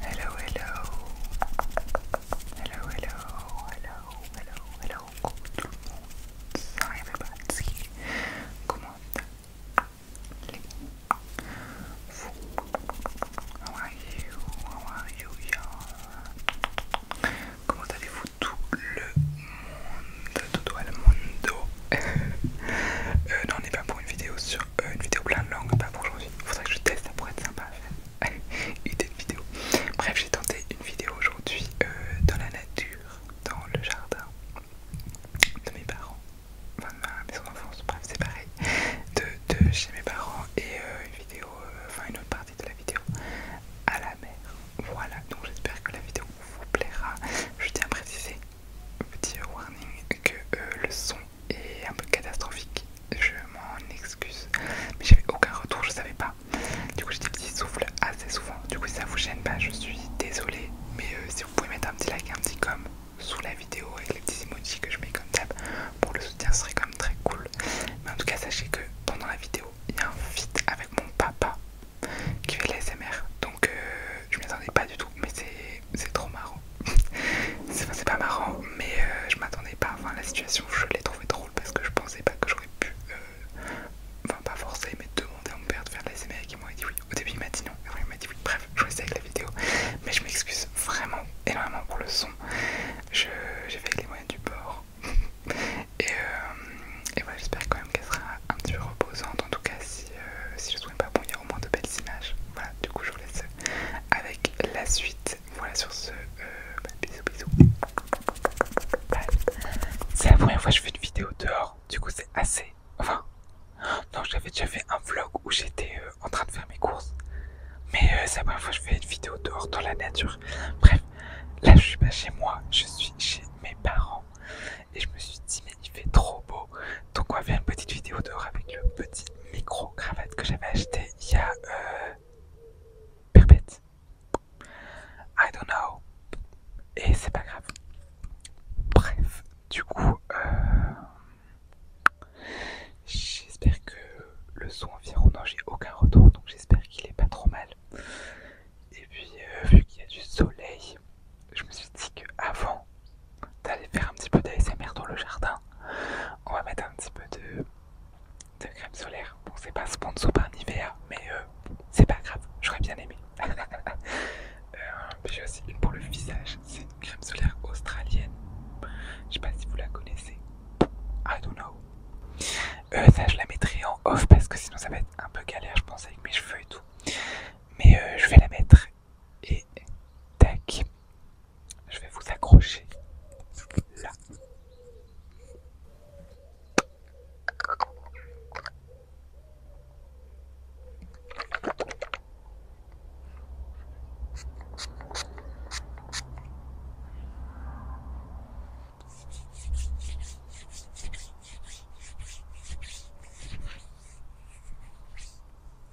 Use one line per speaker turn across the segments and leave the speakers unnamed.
Hello, hello. Hello, hello, hello, hello, hello. Coucou tout le monde. Comment allez-vous? are you? Comment allez-vous tout le monde? Tout le monde. Euh, non, on n'est pas pour une vidéo sur euh, une vidéo plein de langues, pas pour aujourd'hui. Faudrait que je teste, ça pourrait être sympa à faire. Idée de vidéo. Bref, j'ai tenté une vidéo aujourd'hui euh, dans la nature, dans le jardin de mes parents, enfin de ma maison d'enfance, bref, c'est pareil, de, chez mes parents et euh, une vidéo, enfin une autre partie de la vidéo à la mer. Voilà, donc j'espère que la vidéo vous plaira. Je tiens à préciser petit warning que euh, le son est un peu catastrophique. Je m'en excuse, mais j'avais aucun retour, je savais pas. Du coup, j'ai des petits souffles assez souvent. Du coup, si ça vous gêne pas, je suis désolée. Mais euh, si vous pouvez mettre un petit like, un petit comme sous la vidéo avec les petits emojis que je mets comme ça, pour le soutien, ce serait quand même très cool. Mais en tout cas, sachez que pendant la vidéo, il y a un feat avec mon papa qui fait l'ASMR. Donc, euh, je m'y attendais pas du tout, mais c'est trop marrant. c'est pas marrant, mais euh, je m'attendais pas. Enfin, la situation, je l'ai trouvée drôle parce que je pensais pas que j'aurais pu, euh, enfin, pas forcer, mais demander à mon père de faire de la et moi dit oui. Au début, il m'a dit non, il m'a dit oui. Bref, je restais avec la vidéo, mais je m'excuse vraiment énormément pour le son. J'ai fait avec les moyens du bord. et, euh, et voilà, j'espère quand même qu'elle sera un petit peu reposante. En tout cas, si euh, si, je trouve pas bon il y a au moins de belles images voilà du coup je vous laisse avec la suite voilà sur ce euh, bah, bisous bisous c'est la première fois que je fais une vidéo dehors du coup c'est assez enfin non j'avais déjà fait un vlog où j'étais euh, en train de faire mes courses mais c'est la première fois que je fais une vidéo dehors dans la nature bref là je suis pas chez moi je suis chez mes parents et je me suis dit mais il fait trop beau donc on va faire une petite vidéo dehors avec le petit micro-cravate que j'avais acheté il y a euh, Perpète. I don't know. Et c'est pas grave. Bref, du coup, euh, j'espère que le son environnant, oh j'ai aucun retour, donc j'espère qu'il est pas trop mal. Et puis, euh, vu qu'il y a du soleil, je me suis dit que avant d'aller faire un petit peu d'ASMR dans le jardin, on va mettre un petit peu de, crème solaire. Bon, c'est pas sponsor par hiver, mais euh, c'est pas grave, j'aurais bien aimé. Euh, j'ai aussi une pour le visage, c'est une crème solaire australienne. Je sais pas si vous la connaissez. I don't know. Euh, ça, je la mettrai en off parce que sinon ça va être un peu galère, je pense, avec mes cheveux et tout. Mais je vais la mettre et tac. Je vais vous accrocher là.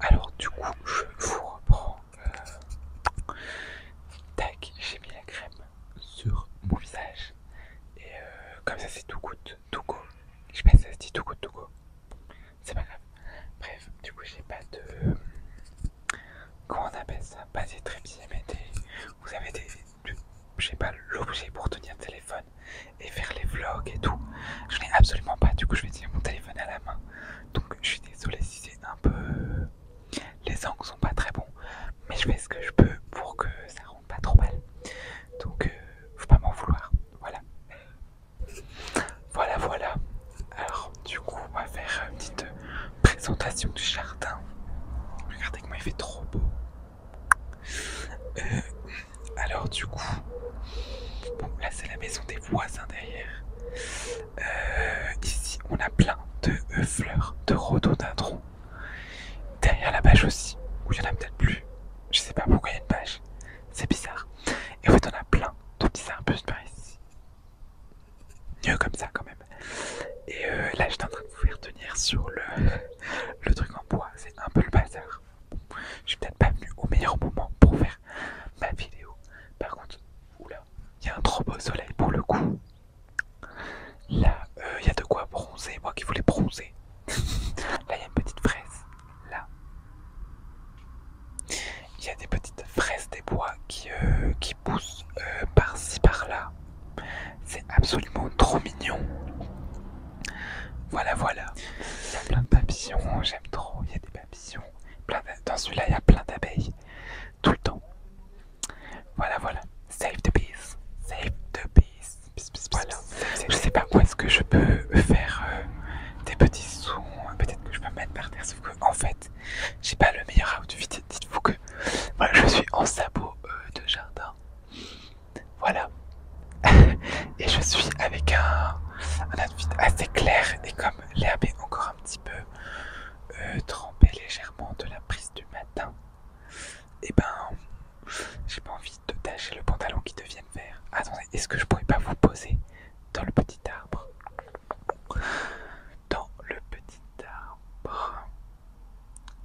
Alors du coup je vous reprends. Euh, tac, j'ai mis la crème sur mon visage. Et euh, comme ça c'est tout coûte tout go. Je pense que ça se dit tout goutte, tout go. C'est pas grave. Bref, du coup j'ai pas de... Comment on appelle ça Pas des trépieds, mais des... Vous avez des... Je pas, l'objet pour tenir le téléphone et faire les vlogs et tout. Je n'ai absolument pas, du coup je vais dire mon téléphone à la main. Donc je suis désolée si c'est un peu... Les angles sont pas très bons, mais je fais ce que je peux pour que ça rentre pas trop mal. Donc euh, faut pas m'en vouloir. Voilà. Voilà, voilà. Alors du coup on va faire une petite présentation du jardin. Regardez comment il fait trop beau. Euh, alors du coup, bon là c'est la maison des voisins derrière. Euh, ici on a plein de euh, fleurs, de rhododendrons. Derrière la page aussi, où il y en a peut-être plus. Je sais pas pourquoi il y a une page. C'est bizarre. Et en fait on a plein de petits arbustes par ici. Mieux comme ça quand même. Et là j'étais en train de vous faire tenir sur le, le truc en bois. C'est un peu le bazar. Je suis peut-être pas venu au meilleur moment pour faire ma vidéo. Par contre, oula, il y a un trop beau soleil pour le coup. Là, euh, il y a de quoi bronzer, moi qui voulais bronzer. là, il y a une petite fraise. Là, il y a des petites fraises des bois qui, euh, poussent euh, par-ci par-là. C'est absolument trop mignon. Voilà, voilà. Il y a plein de papillons, j'aime trop. Il y a des papillons. Dans celui-là, il y a plein d'abeilles. Tout le temps. Voilà, voilà. Save the peace, Save the Peace, voilà. Je sais pas quoi est-ce que je peux faire euh, des petits sons. Hein. Peut-être que je peux me mettre par terre. Sauf que, en fait, j'ai pas le meilleur outfit. Dites-vous que je suis en sabot euh, de jardin. Voilà. et je suis avec un, un outfit assez clair et comme l'herbe est encore un petit peu euh, trempé trempée légèrement de la prise du matin, et eh ben j'ai pas envie de tâcher le pantalon qui devienne vert. Attendez, est-ce que je pourrais pas vous poser dans le petit arbre Dans le petit arbre.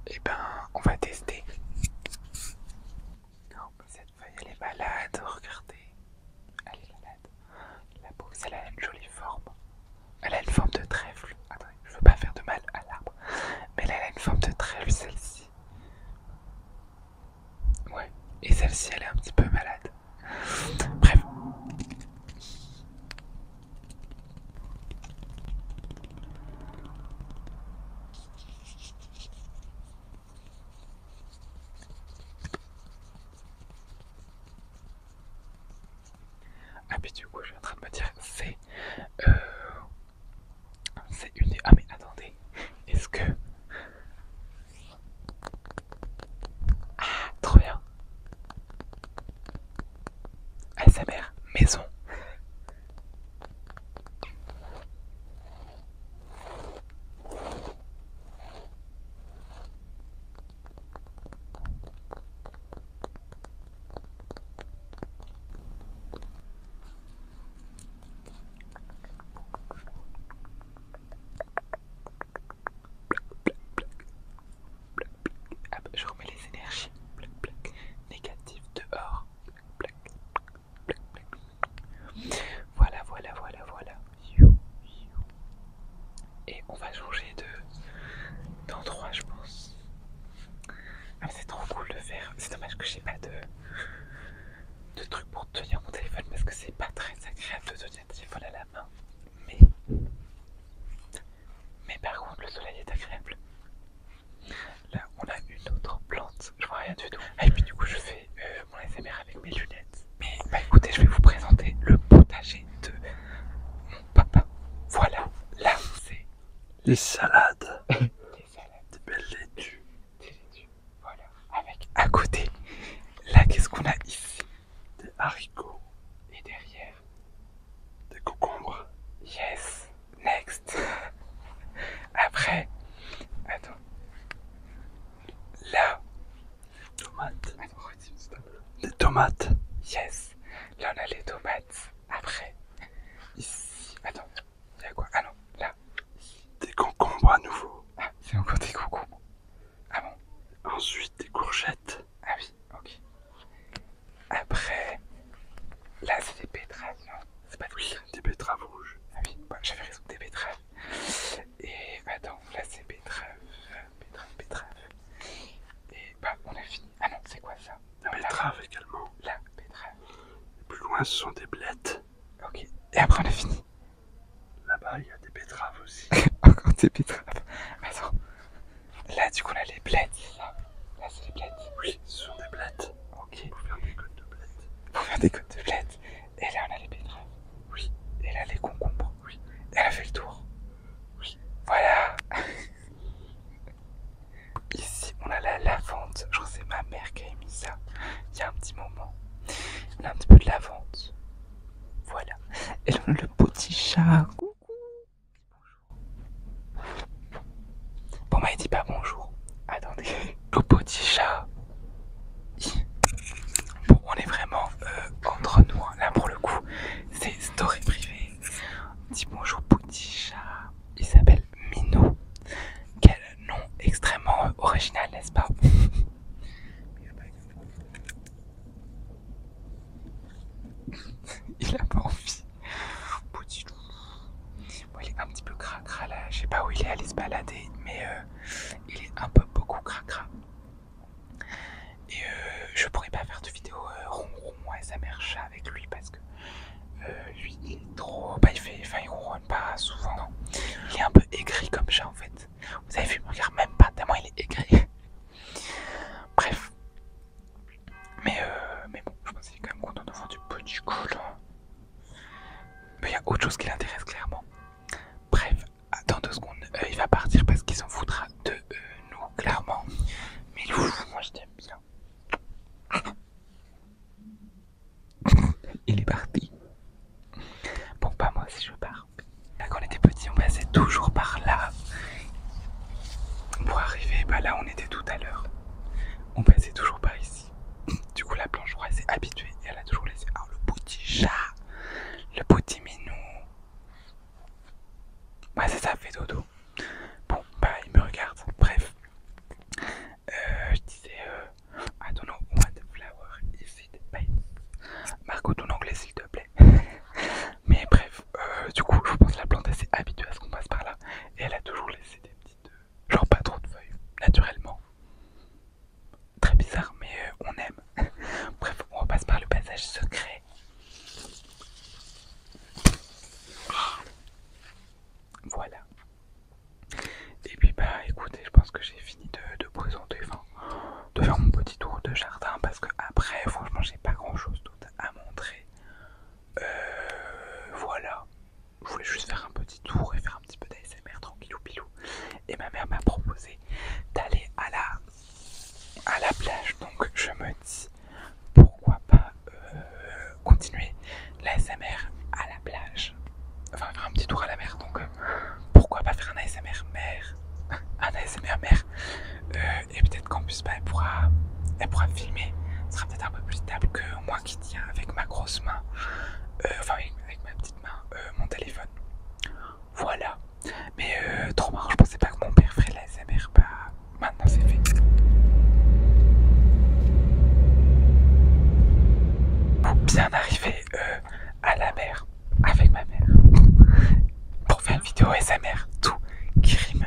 Et eh ben on va tester. Non, elle est malade, regardez. Elle est malade. La peau, elle a une jolie forme. Elle a une forme de trèfle. Attends, je veux pas faire de mal à l'arbre. Mais elle a une forme de trèfle, celle-ci. Ouais. Et celle-ci, elle est un petit peu malade. Bref. Ah, puis du coup, je suis en train de me dire, c'est. Euh, c'est une Ah, mais attendez, est-ce que. Ah, trop bien! ASMR maison! Je remets les énergies négatives dehors. Voilà, voilà, voilà, voilà. Et on va changer de d'endroit, je pense. Ah, c'est trop cool de faire. C'est dommage que j'ai pas de truc pour tenir mon téléphone parce que c'est pas très agréable de tenir un téléphone à la main. Mais mais par contre, le soleil est agréable. Là, on a une autre plante. Je vois rien du tout. Ah, et puis du coup, je fais euh, mon ASMR avec mes lunettes. Mais bah, écoutez, je vais vous présenter le potager de mon papa. Voilà, là, c'est les salades. les salades. Des belles laitues. Des laitues. Voilà. Avec à côté, là, qu'est-ce qu'on a ici Des haricots. Et derrière, des concombres. Yes. Next. Après, attends. Là. Tomates. Attends, Les tomates. Yes. Là, on a les tomates. Après. Ici. Attends. Il y a quoi Ah non, là. Des concombres à nouveau. Ah, c'est encore des concombres. Ah bon Ensuite, des courgettes. Ah oui, ok. Après. Là, c'est des betteraves, c'est pas des betteraves rouges. Ah oui, bah, j'avais raison, des betteraves. Et bah attends, là c'est betterave betteraves, betteraves. Et bah on a fini. Ah non, c'est quoi ça ah, bah, La betteraves betterave également. plus loin, ce sont des blettes. Ok, et après on a fini. Là-bas, il y a des betteraves aussi. Encore des betteraves. Attends. Là, du coup, on a les blettes, Là, c'est les blettes. Oui, ce sont des blettes. Ok. Pour faire des côtes de bled. Pour faire des côtes de bled. Et là, on a les betteraves. Oui. Et là, les concombres. Oui. elle a fait le tour. Oui. Voilà. Ici, on a la lavande. Je crois que c'est ma mère qui a mis ça il y a un petit moment. On a un petit peu de lavande. Voilà. Et là, on a le petit chat. Coucou. Bonjour. Bon bah il dit pas bonjour. Attendez. le petit chat. Bon on est vraiment euh, entre nous. Hein. Là pour le coup c'est story privée. dit bonjour petit chat. Il s'appelle Minou. Quel nom extrêmement euh, original n'est-ce pas Il a pas envie il est un petit peu cracra là, je sais pas où il est allé se balader, mais euh, il est un peu beaucoup cracra. Et euh, je pourrais pas faire de vidéo euh, ronron moi et sa mère chat avec lui parce que lui il est trop. Bah, il fait. Enfin, il ronronne pas souvent, Il est un peu aigri comme chat en fait. Vous avez vu, il regarde même pas tellement il est aigri. Bref. Mais, mais bon, je pense qu'il est quand même content de voir du petit coulant hein. Mais il y a autre chose qui l'intéresse clairement. Bref, attends deux secondes, euh, il va partir parce qu'il s'en foutra de euh, nous, clairement. Mais ouf, moi je t'aime bien. Il est parti. Bon, pas bah, moi si je pars. quand on était petit, on passait toujours par là. Pour arriver, bah là, on était tout à l'heure. On passait toujours par ici. Du coup, la planche elle s'est habituée et elle a toujours laissé. Alors, le petit chat, le petit minou. Ouais, c'est ça, fait dodo. Bon, bah, il me regarde. Bref, euh, je disais, euh, I don't know what flower is it, by Marco, ton anglais, s'il te plaît. Mais bref, euh, du coup, je pense que la plante s'est habituée à ce qu'on passe par là et elle a toujours laissé des petites genre pas trop de feuilles, naturellement. Très bizarre, mais euh, on aime. Bref, on passe par le passage secret. Voilà. Et puis bah écoutez, je pense que j'ai fini de, présenter, enfin, de faire mon petit tour de jardin parce que après, franchement, j'ai pas grand chose d'autre à montrer. Euh, voilà je voulais juste faire un petit tour et faire un petit peu d'ASMR tranquillou pilou. Et ma mère m'a proposé d'aller à la, à la plage. Donc je me dis pourquoi pas euh, continuer l'ASMR à la plage. Enfin faire un petit tour à la mer. Donc euh, pourquoi pas faire un ASMR mer. Un ASMR mer. Euh, et peut-être qu'en plus bah, pourra, elle pourra filmer. Ce sera peut-être un peu plus stable que moi qui tient avec ma grosse main, euh, enfin avec, ma petite main, euh, mon téléphone. Voilà. Mais euh, trop marrant, je pensais pas que mon père ferait la SMR. Bah, maintenant c'est fait. Bien arrivé euh, à la mer avec ma mère pour faire une vidéo SMR, tout qui rime.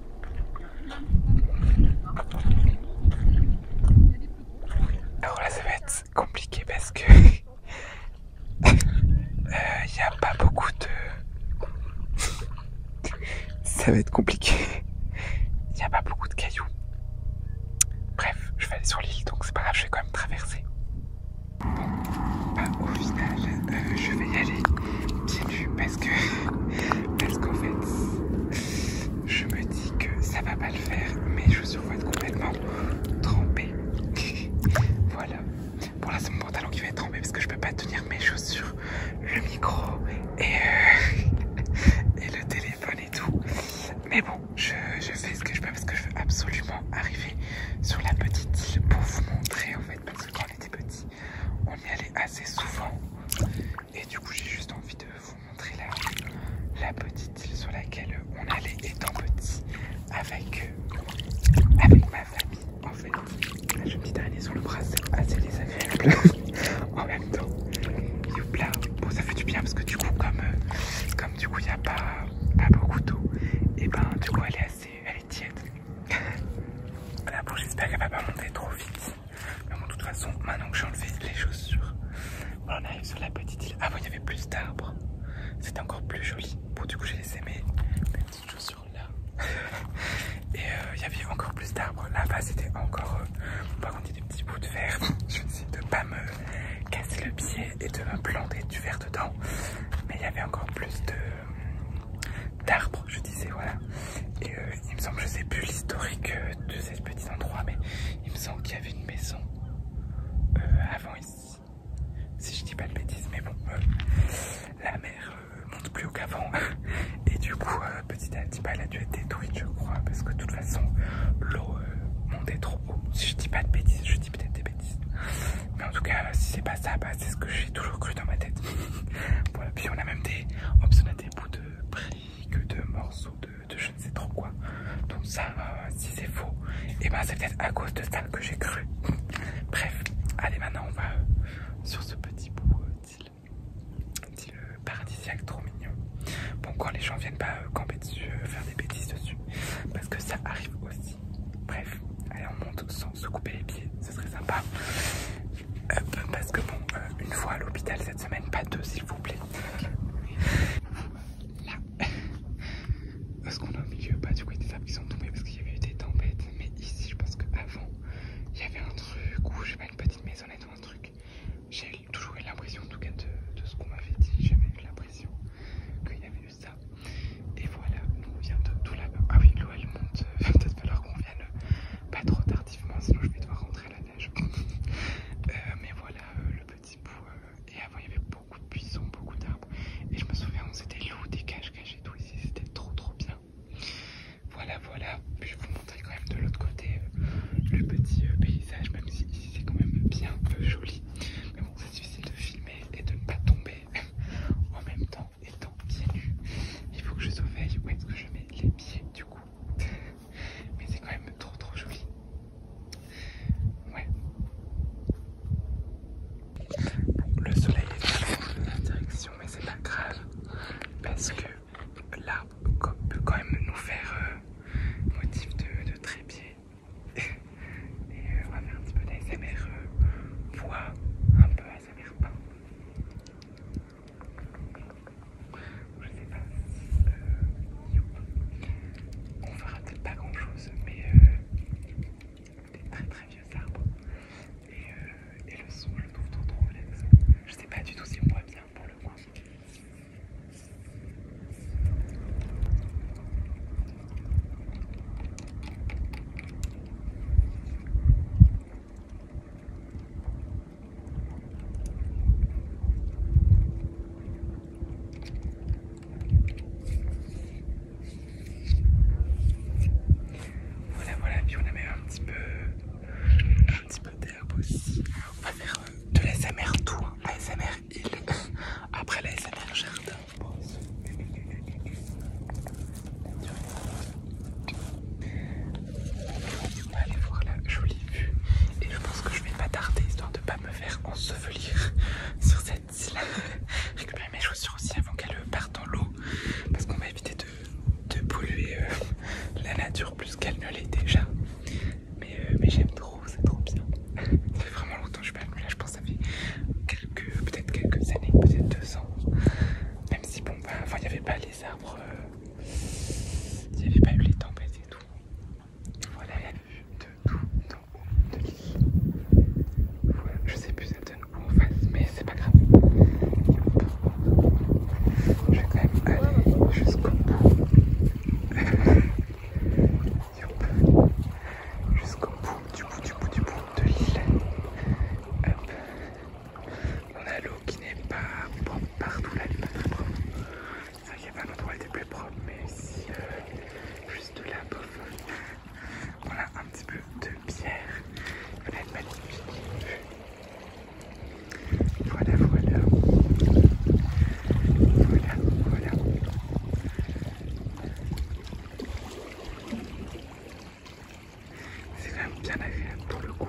Alors oh, là, ça va être compliqué parce que euh, il n'y a pas beaucoup de. ça va être compliqué. Il n'y a pas beaucoup de cailloux. Bref, je vais aller sur l'île, donc c'est pas grave, je vais quand même traverser. Bah, au final, euh, je vais y aller pieds parce que. parce qu'en fait je me dis que ça va pas le faire, mais je vont être complètement trempées, voilà. Bon là c'est mon pantalon qui va être trempé parce que je peux pas tenir mes chaussures, le micro euh, et, le téléphone et tout. Mais bon, je, fais ce que je peux parce que je veux absolument arriver sur la petite île pour vous montrer en fait parce que quand on était petit, on y allait assez souvent. Et du coup, j'ai juste envie de vous montrer la, la petite sur laquelle on allait étant petit avec, avec ma famille. En fait, j'ai une petite sur le bras, c'est assez désagréable en même temps. bon, ça fait du bien parce que du coup, comme, euh, comme du coup, il n'y a pas, pas beaucoup d'eau, et ben du coup, elle est assez tiède. j'espère qu'elle va pas monter trop vite de toute façon, maintenant que j'ai enlevé les chaussures, on arrive sur la petite île. Ah bon, il y avait plus d'arbres. C'était encore plus joli. Bon, du coup, j'ai laissé mes, mes petites chaussures là. Et euh, il y avait encore plus d'arbres. Là-bas, c'était encore. Euh, par contre, des petits bouts de verre. Je suis de ne pas me casser le pied et de me planter du verre dedans. Mais il y avait encore plus de euh, d'arbres, je disais, voilà. Et euh, il me semble, je sais plus l'historique euh, de ces petits endroit, mais il me semble qu'il y avait une maison euh, avant ici. Si je dis pas de bêtises, mais bon, la mer monte plus haut qu'avant. Et du coup, petit à petit, bah, elle a dû être détruite, je crois, parce que de toute façon, l'eau montait trop haut. Si je dis pas de bêtises, je dis peut-être des bêtises. Mais en tout cas, si c'est pas ça, bah, c'est ce que j'ai toujours cru dans ma tête. puis on a même des, on a des bouts de que de morceaux de, je ne sais trop quoi. Donc ça, euh, si c'est faux, et eh ben c'est peut-être à cause de ça que j'ai cru. Bref, allez maintenant on va euh, sur ce petit bout euh, d'île paradisiaque trop mignon. Bon quand les gens viennent pas camper dessus, faire des bêtises dessus, parce que ça arrive aussi. Bref, allez on monte sans se couper les pieds, ce serait sympa. parce que bon, une fois à l'hôpital ça mène pas deux s'il vous plaît. Là, parce qu'on a au milieu, pas du coup, il y a des arbres qui sont tombés parce qu'il y avait eu des tempêtes. Mais ici, je pense qu'avant, il y avait un truc ou je sais pas, une petite maisonnette ou un truc. J'ai toujours eu l'impression, en tout cas, de, ce qu'on m'avait dit. J'avais eu l'impression qu'il y avait eu ça. Et voilà, nous on vient de tout là Ah oui, l'eau elle monte. Peut-être falloir qu'on vienne pas trop tardivement, sinon je vais devoir rentrer la neige. Euh, mais voilà euh, le petit bout. Euh, et avant, il y avait beaucoup de buissons, beaucoup d'arbres. Et je me souviens, on s'était des cages cachées. et tout ici. C'était trop, trop bien. Voilà, voilà. Je vais vous montrer quand même de l'autre côté le petit paysage, même si ici c'est quand même bien peu joli. Mais bon, c'est difficile de filmer et de ne pas tomber en même temps étant pieds nus. Il faut que je surveille où est-ce que je mets les pieds du coup mais c'est quand même trop trop joli. Ouais. le soleil est dans la direction, mais c'est pas grave parce que l'arbre peut quand même nous faire euh, motif de, trépied. Et euh, on va faire un petit peu d'ASMR euh, voix, un peu ASMR pain. Je sais pas on fera peut-être pas grand chose, mais euh, des très très vieux arbres. Et, euh, le son, je le trouve trop trop Je sais pas du tout si on voit bien pour le coin. Voilà, voilà, puis on a mis un petit peu, un petit peu d'herbe aussi. On va faire euh, de la SMR tout, la SMR île, après la SMR jardin on va aller voir la jolie vue et je pense que je vais pas tarder histoire de ne pas me faire ensevelir sur cette île. Récupérer mes chaussures aussi avant qu'elles partent dans l'eau parce qu'on va éviter de, polluer euh, la nature plus qu'elle ne l'est déjà. Mais, euh, mais j'aime trop, c'est trop bien. Ça fait vraiment longtemps que je suis pas venue là, je pense que ça fait quelques, peut-être quelques années, peut-être deux ans. Même si bon, avant bah, il n'y avait pas les arbres il n'y avait pas eu les tempêtes et tout. Voilà la vue de tout en haut de l'île. Voilà, je sais plus ça donne où en face, mais c'est pas grave. Je vais quand même aller jusqu'au bout. Jusqu'au bout, du bout, du bout, du bout de l'île. On a l'eau qui n'est pas propre partout, là elle n'est pas très propre. C'est vrai qu'il y avait un endroit où elle était plus propre, mais ici, euh, juste là, bof. Voilà un petit peu de bière. Voilà une magnifique vue. Voilà, voilà. Voilà, voilà. C'est quand même bien agréable pour le coup.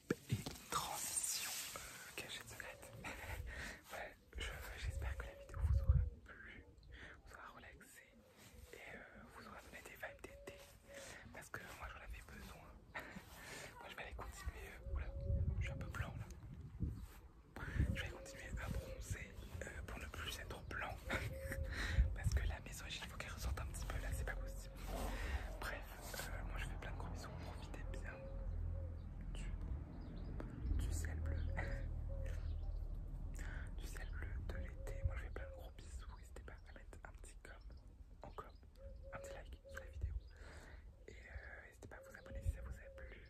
et transition cachée cachette secrète. j'espère que la vidéo vous aura plu, vous aura relaxé et euh, vous aura donné des vibes d'été parce que moi j'en avais besoin. moi je vais aller continuer. Euh, je suis un peu blanc là. Je vais continuer à bronzer euh, pour ne plus être blanc parce que la maison, il faut qu'elle ressorte un petit peu là, c'est pas possible. Bref, euh, moi je fais plein de gros bisous, profitez bien du, sel ciel bleu. du ciel bleu de l'été. Moi je fais plein de gros bisous. N'hésitez pas à mettre un petit un petit like sur la vidéo. Et euh, n'hésitez pas à vous abonner si ça vous a plu.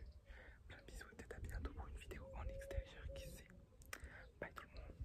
Plein de bisous, peut à bientôt pour une vidéo en extérieur qui sait. Bye tout le monde.